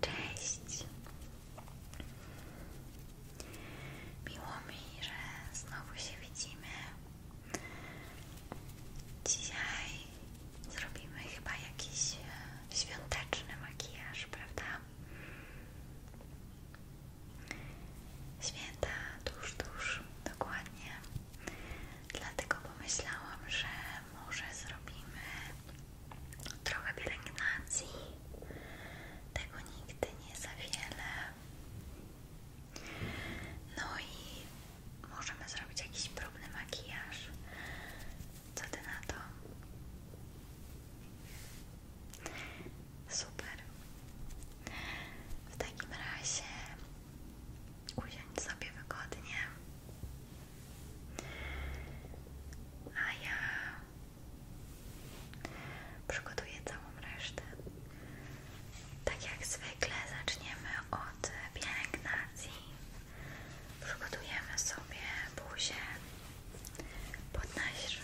Cześć! Miło mi, że znowu się widzimy. Dzisiaj zrobimy chyba jakiś e, świąteczny makijaż, prawda? Święta tuż, tuż, dokładnie. Dlatego pomyślałam, że może zrobimy trochę pielęgnacji. Tego nigdy nie za wiele. No i możemy zrobić jakiś próbny makijaż. Co ty na to? Super. W takim razie usiądź sobie wygodnie. A ja przygotuję całą resztę. Tak jak zwykle zaczniemy od pielęgnacji. Przygotujemy sobie buzię pod nasz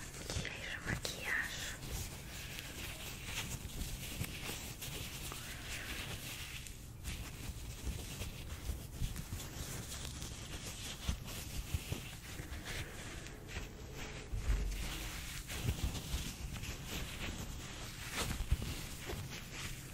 makijaż.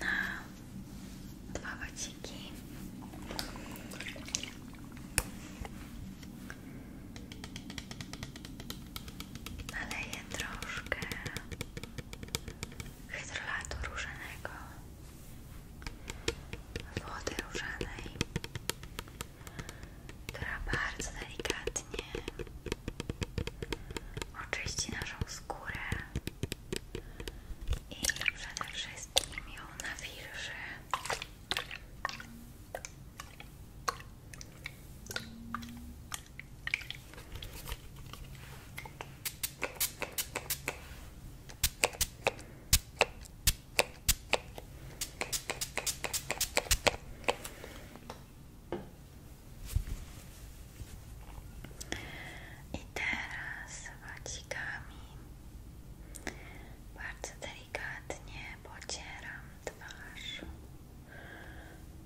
na dwa waciki naleję troszkę hydrolatu różanego wody różanej która bardzo delikatnie oczyści naszą skórę i przede wszystkim ją nawilży. I teraz wacikami bardzo delikatnie pocieram twarz,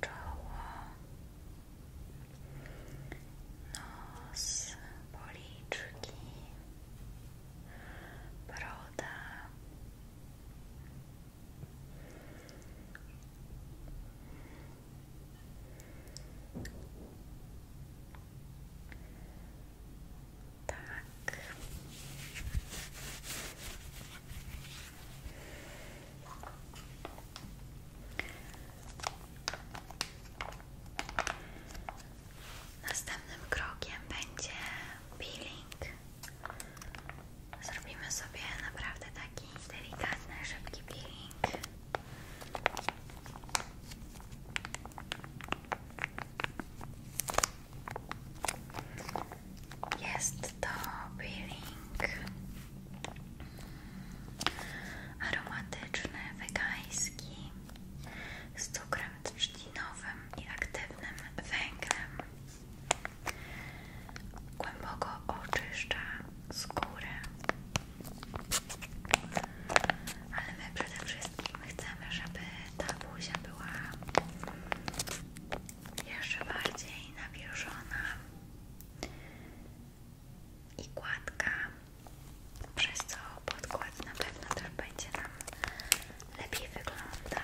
czoło, nos, policzki, broda. Tak. Następnym krokiem będzie peeling. Zrobimy sobie naprawdę taki delikatny, szybki peeling. Jest to peeling aromatyczny, wegański z cukrem trzcinowym i aktywnym węglem. Głęboko oczyszcza skórę. Ale my przede wszystkim chcemy, żeby ta buzia była jeszcze bardziej nawilżona i gładka, przez co podkład na pewno też będzie nam lepiej wyglądał.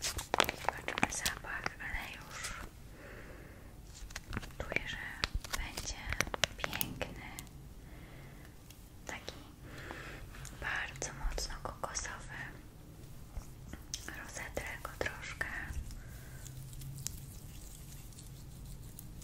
Zobaczmy zapach, ale już czuję, że będzie piękny, taki bardzo mocno kokosowy. Rozetrę go troszkę.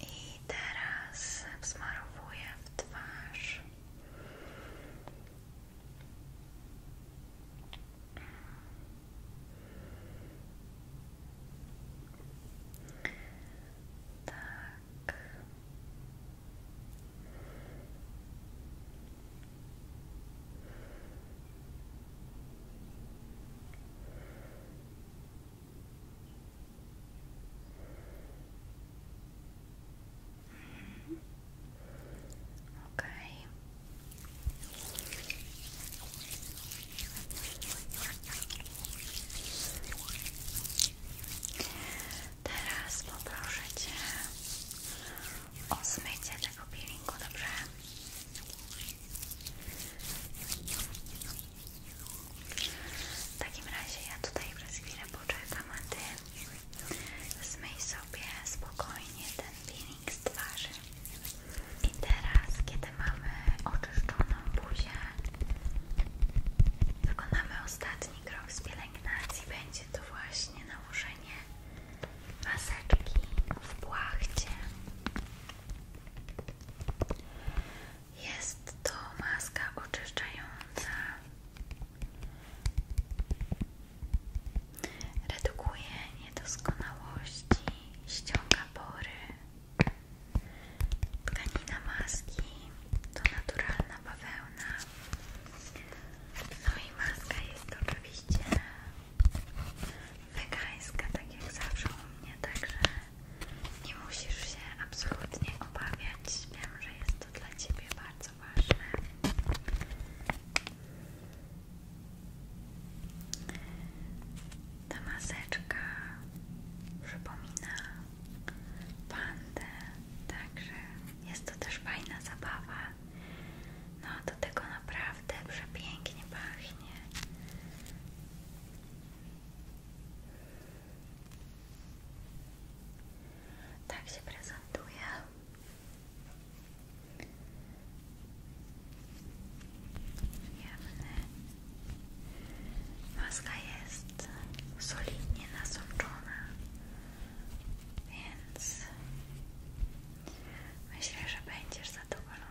I teraz wsmarowuję w twarz. Tak. Teraz poproszę Cię o zmycie tego peelingu, dobrze? W takim razie ja tutaj przez chwilę poczekam, a Ty zmyj sobie spokojnie ten peeling z twarzy. I teraz, kiedy mamy oczyszczoną buzię, wykonamy ostatni krok z pielęgnacji. Będzie to właśnie nałożenie maseczki w płachcie. Jest to maska oczyszczająca. Redukuje niedoskonałości, ściąga pory. Tkanina maski to naturalna bawełna. No i maska jest oczywiście wegańska, tak jak zawsze u mnie, także nie musisz się absolutnie obawiać. Wiem, że jest to dla Ciebie bardzo ważne. Ta maseczka przypomina pandę, także jest to też fajna zabawa. No, do tego naprawdę przepięknie pachnie. Tak się prezentuje. Maska jest solidnie nasączona, więc myślę, że będziesz zadowolona.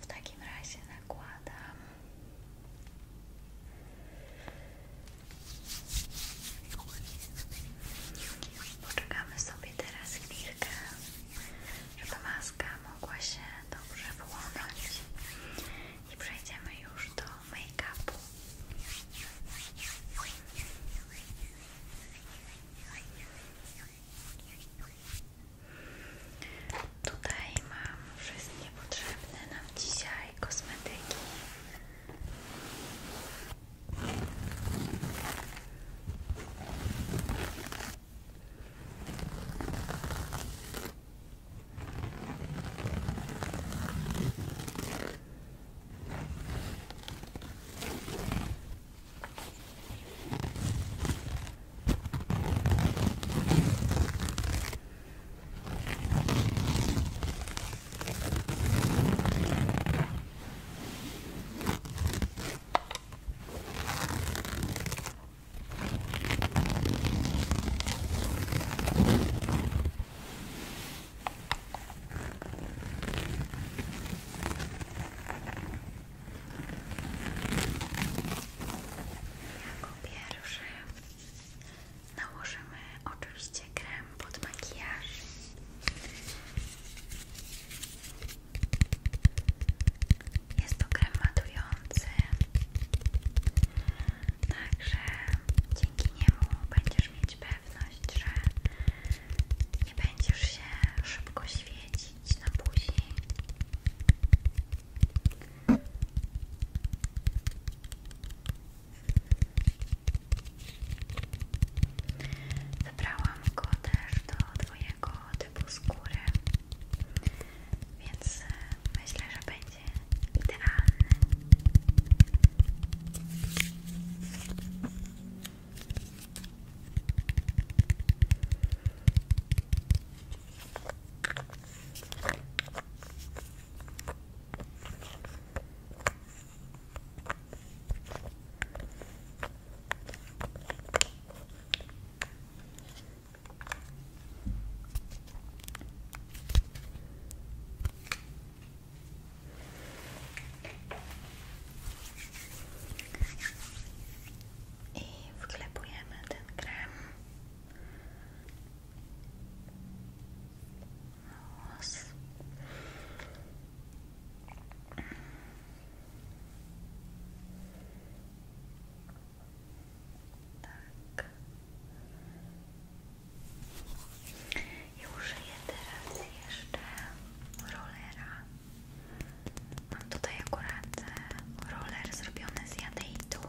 W takim razie nakładam. Poczekamy sobie teraz chwilkę, żeby maska mogła się dobrze wyłonąć i przejdziemy już do make-upu. Tutaj mam wszystkie potrzebne nam dzisiaj kosmetyki. Jako pierwszy Nałożymy oczywiście krem pod makijaż. Jest to krem matujący, także dzięki niemu będziesz mieć pewność, że nie będziesz się szybko świecić na buzi. Wybrałam go też do twojego typu skóry, więc e, myślę, że będzie idealny. I wklepujemy ten krem Hałas. Tak. I jeszcze rolera. Mam tutaj akurat e, roller zrobiony z jadeitu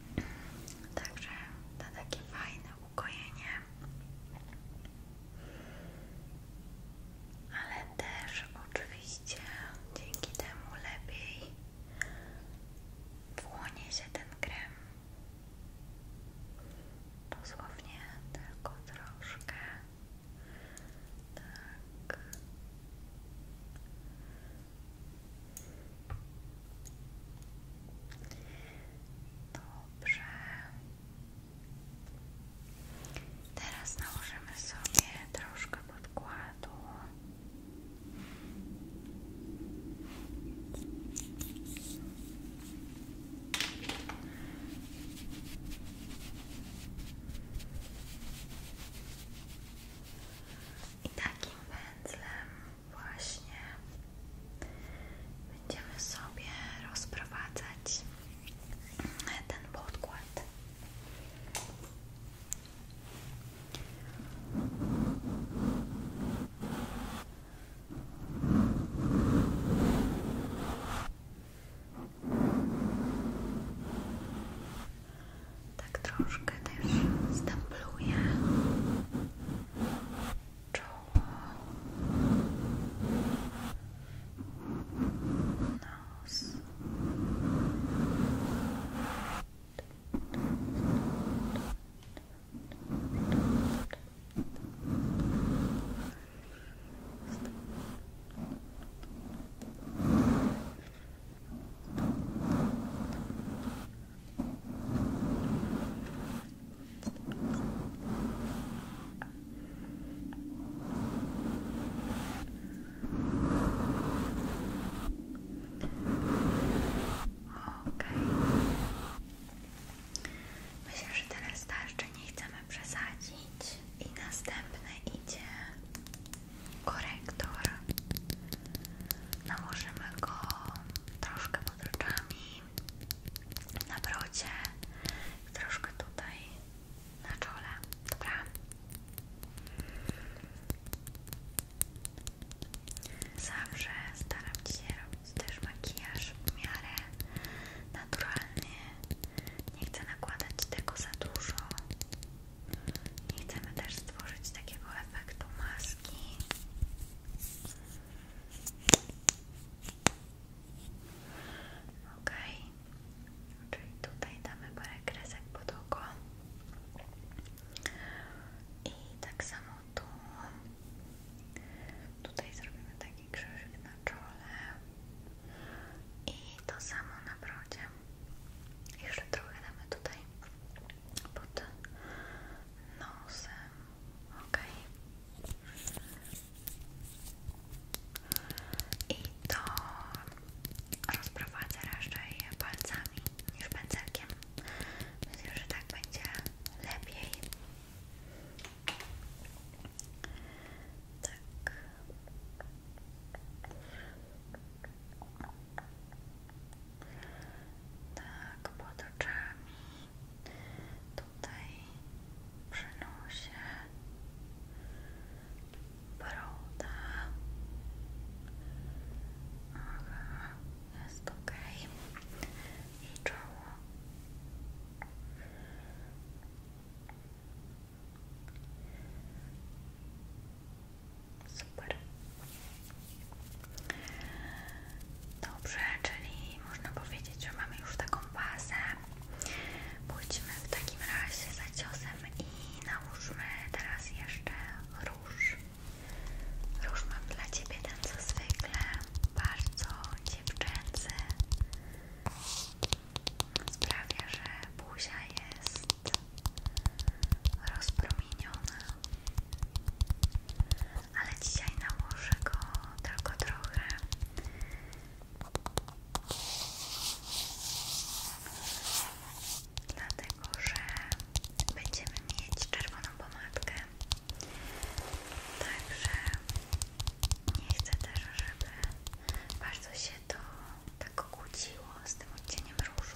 Także to takie fajne ukojenie. Ale też oczywiście dzięki temu lepiej wchłonie się ten krem. Dosłownie tylko troszkę. Tak. Dobrze. Teraz nałożymy sobie troszkę podkładu. I takim pędzlem właśnie będziemy sobie rozprowadzać ten podkład tak troszkę też stempluję czoło nos Okej. Myślę, że teraz starczy, nie chcemy przesadzić. I następny idzie korektor. Nałożymy go troszkę pod oczami, na brodzie, troszkę tutaj na czole, dobra? Zawsze staram się robić też makijaż w miarę naturalny. Nie chcę nakładać tego za dużo. Nie chcemy też stworzyć takiego efektu maski. Ok, czyli tutaj damy parę kresek pod oko i tak samo tu. Tutaj zrobimy taki krzyżyk na czole i to samo na brodzie. Jeszcze trochę damy tutaj pod nosem, ok. I to rozprowadzę raczej palcami niż pędzelkiem. Myślę, że tak będzie lepiej. Tak. Tak, pod oczami. Tutaj przy Broda. jest ok. I czoło. Super. Dobrze, czyli można powiedzieć, że mamy już taką bazę. Pójdźmy w takim razie za ciosem i nałóżmy teraz jeszcze róż. Róż mam dla Ciebie ten co zwykle, bardzo dziewczęcy. Sprawia, że buzia jest rozpromienione. Ale dzisiaj nałożę go tylko trochę. Dlatego, że będziemy mieć czerwoną pomadkę. Także nie chcę też, żeby bardzo się to tak kłóciło z tym odcieniem różu.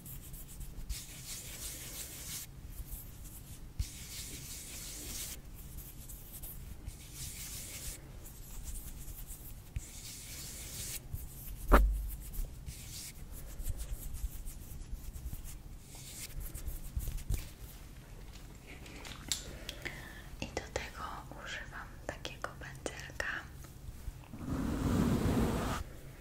I do tego używam takiego pędzelka.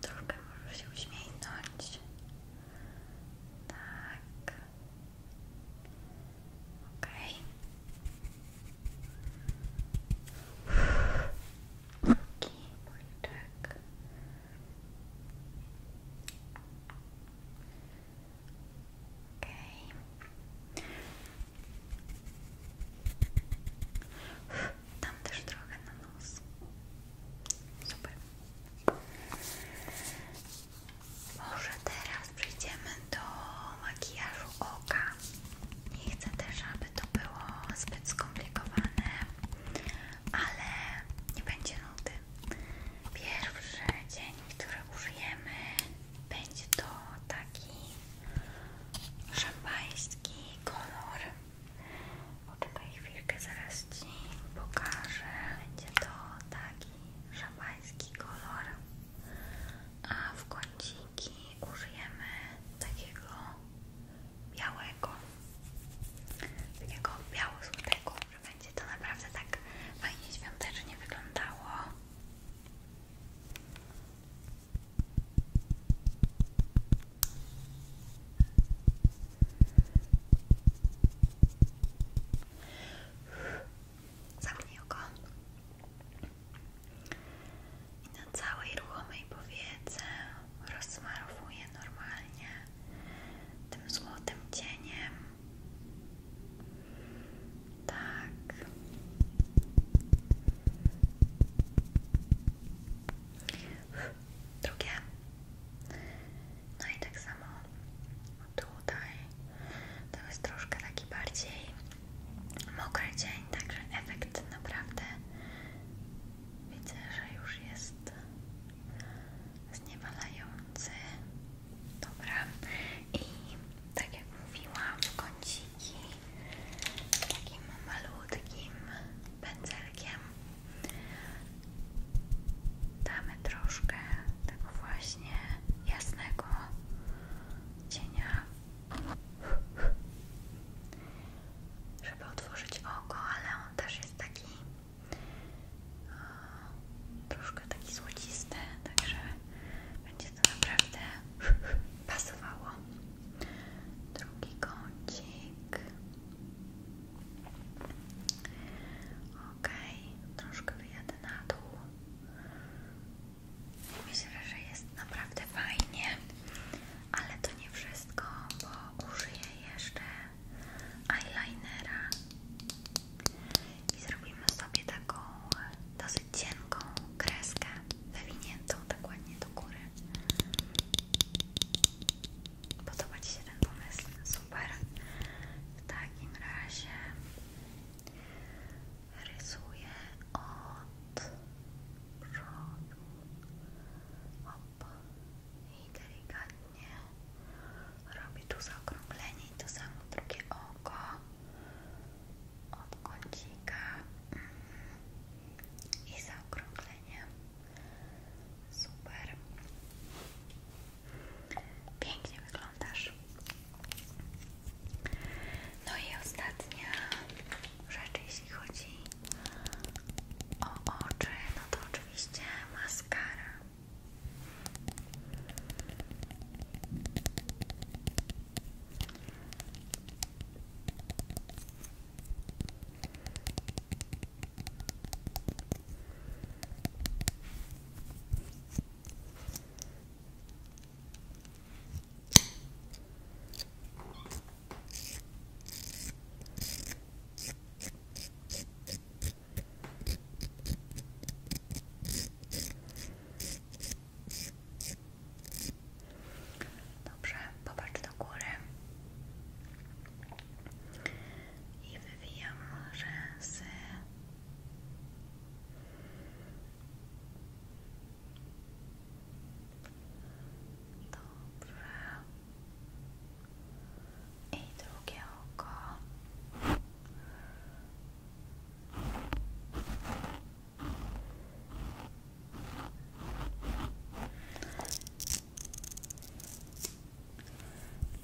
Trochę może się uśmiechnąć. Tak. Okej. Okay tak. Okej. Tam też trochę na nos. Może teraz przejdziemy do makijażu oka. Nie chcę też, aby to było zbyt skomplikowane, ale nie będzie nudy. Pierwszy dzień, który użyjemy, będzie to taki szampański kolor. Poczekaj chwilkę, zaraz Ci pokażę. Będzie to taki szampański kolor, a w kąciki użyjemy takiego białego, takiego biało-złotego, że będzie to naprawdę tak fajnie świątecznie wyglądało. Zamknij oko i na całej ruchomej powiece rozsmarowuję normalnie tym złotym cieniem. Tak. Drugie. No i tak samo tutaj. To jest troszkę taki bardziej mokry dzień, także efekt naprawdę Widzę, że już jest zniewalający. Dobra. I tak jak mówiłam, w kąciki takim malutkim pędzelkiem damy troszkę tego właśnie jasnego cienia żeby otworzyć oko, ale on też jest taki e, troszkę taki złocisty, także będzie to naprawdę pasowało. Drugi kącik. Ok, troszkę wyjadę na dół. Myślę, że jest naprawdę fajnie ale to nie wszystko, bo użyję jeszcze eyelinera i zrobimy sobie taką dosyć cienką kreskę wywiniętą tak ładnie do góry. Podoba Ci się ten pomysł? Super! W takim razie rysuję od przodu Hop. i delikatnie robi tu zaokrąglenie i to samo drugie oko od kącika mm. i zaokrąglenie super pięknie wyglądasz no i ostatnia rzeczy, jeśli chodzi o oczy, no to oczywiście maskara. Dobrze, popatrz do góry i wywijam rzęsy Dobrze. I drugie oko.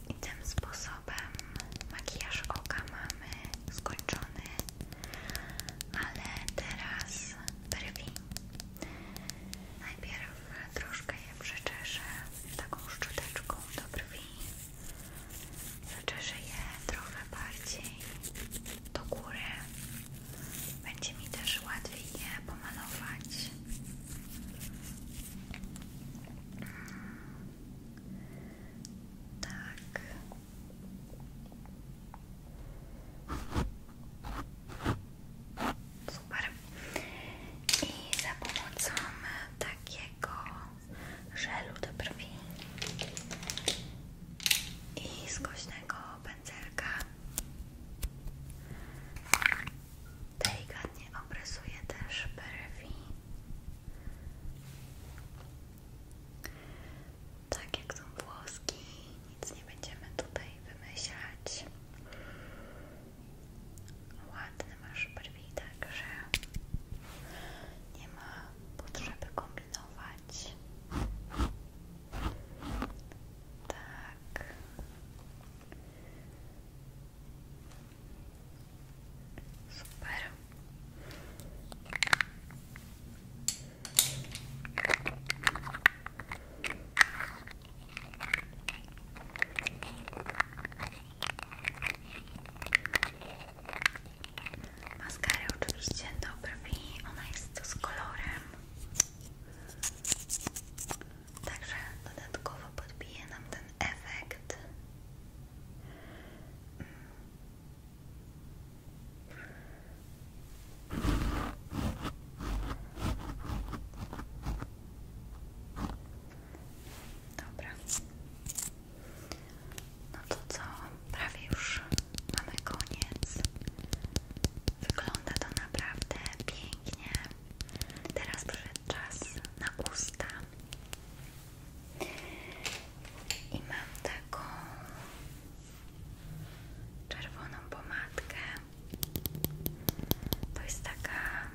I tym sposobem makijaż oka mamy skończony, ale teraz brwi. Najpierw troszkę je przeczeszę taką szczoteczką do brwi. Zaczeszę je trochę bardziej do góry. Będzie mi też łatwiej je pomalować. Tak. Super. I za pomocą takiego żelu do brwi i skośnego pędzelka delikatnie obrysuję też brwi tak jak są włoski, nic nie będziemy tutaj wymyślać. Ładny masz brwi, także nie ma potrzeby kombinować. Tak. Super. Maskarę oczywiście do brwi, ona z kolorem. Także dodatkowo podbije nam ten efekt Dobra. No to co? Prawie już mamy koniec. Wygląda to naprawdę pięknie. Teraz przyszedł czas na usta. I mam taką czerwoną pomadkę. To jest taka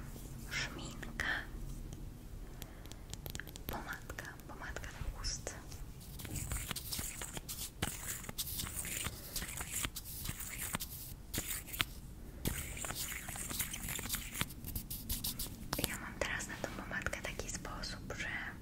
szminka. Pomadka, pomadka do ust. Ja mam teraz na tą pomadkę taki sposób, że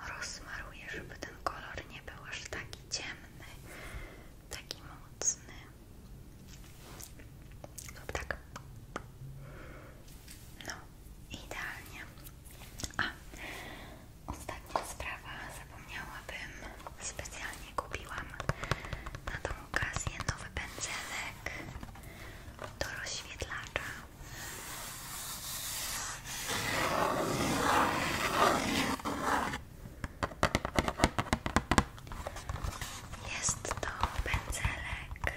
rozmaruję, żeby ten kolor nie był aż taki ciemny, taki mocny. Lub tak. No, idealnie. A, ostatnia sprawa, zapomniałabym, specjalnie kupiłam na tą okazję nowy pędzelek do rozświetlacza. Jest to pędzelek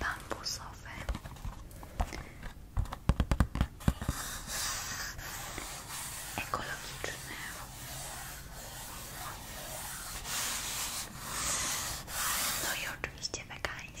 bambusowy. Ekologiczny. No i oczywiście wegański.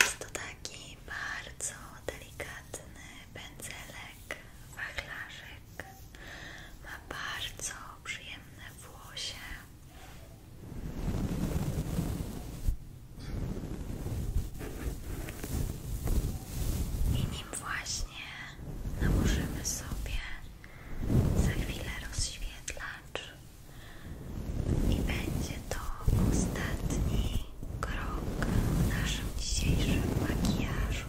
Jest to taki bardzo delikatny pędzelek, wachlarzyk. Ma bardzo przyjemne włosie. I nim właśnie nałożymy sobie za chwilę rozświetlacz i będzie to ostatni krok w naszym dzisiejszym makijażu.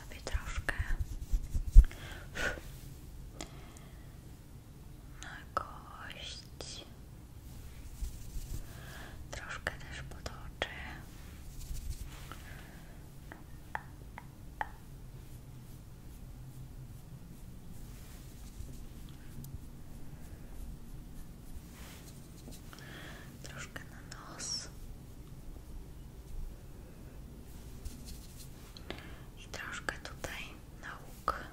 sobie troszkę na kość troszkę też potoczę na nos i troszkę tutaj nauk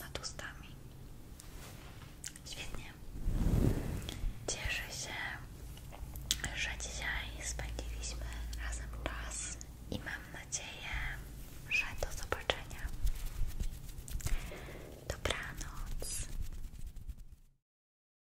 nad ustami. Świetnie. Cieszę się, że dzisiaj spędziliśmy razem czas i mam nadzieję, że do zobaczenia. Dobranoc.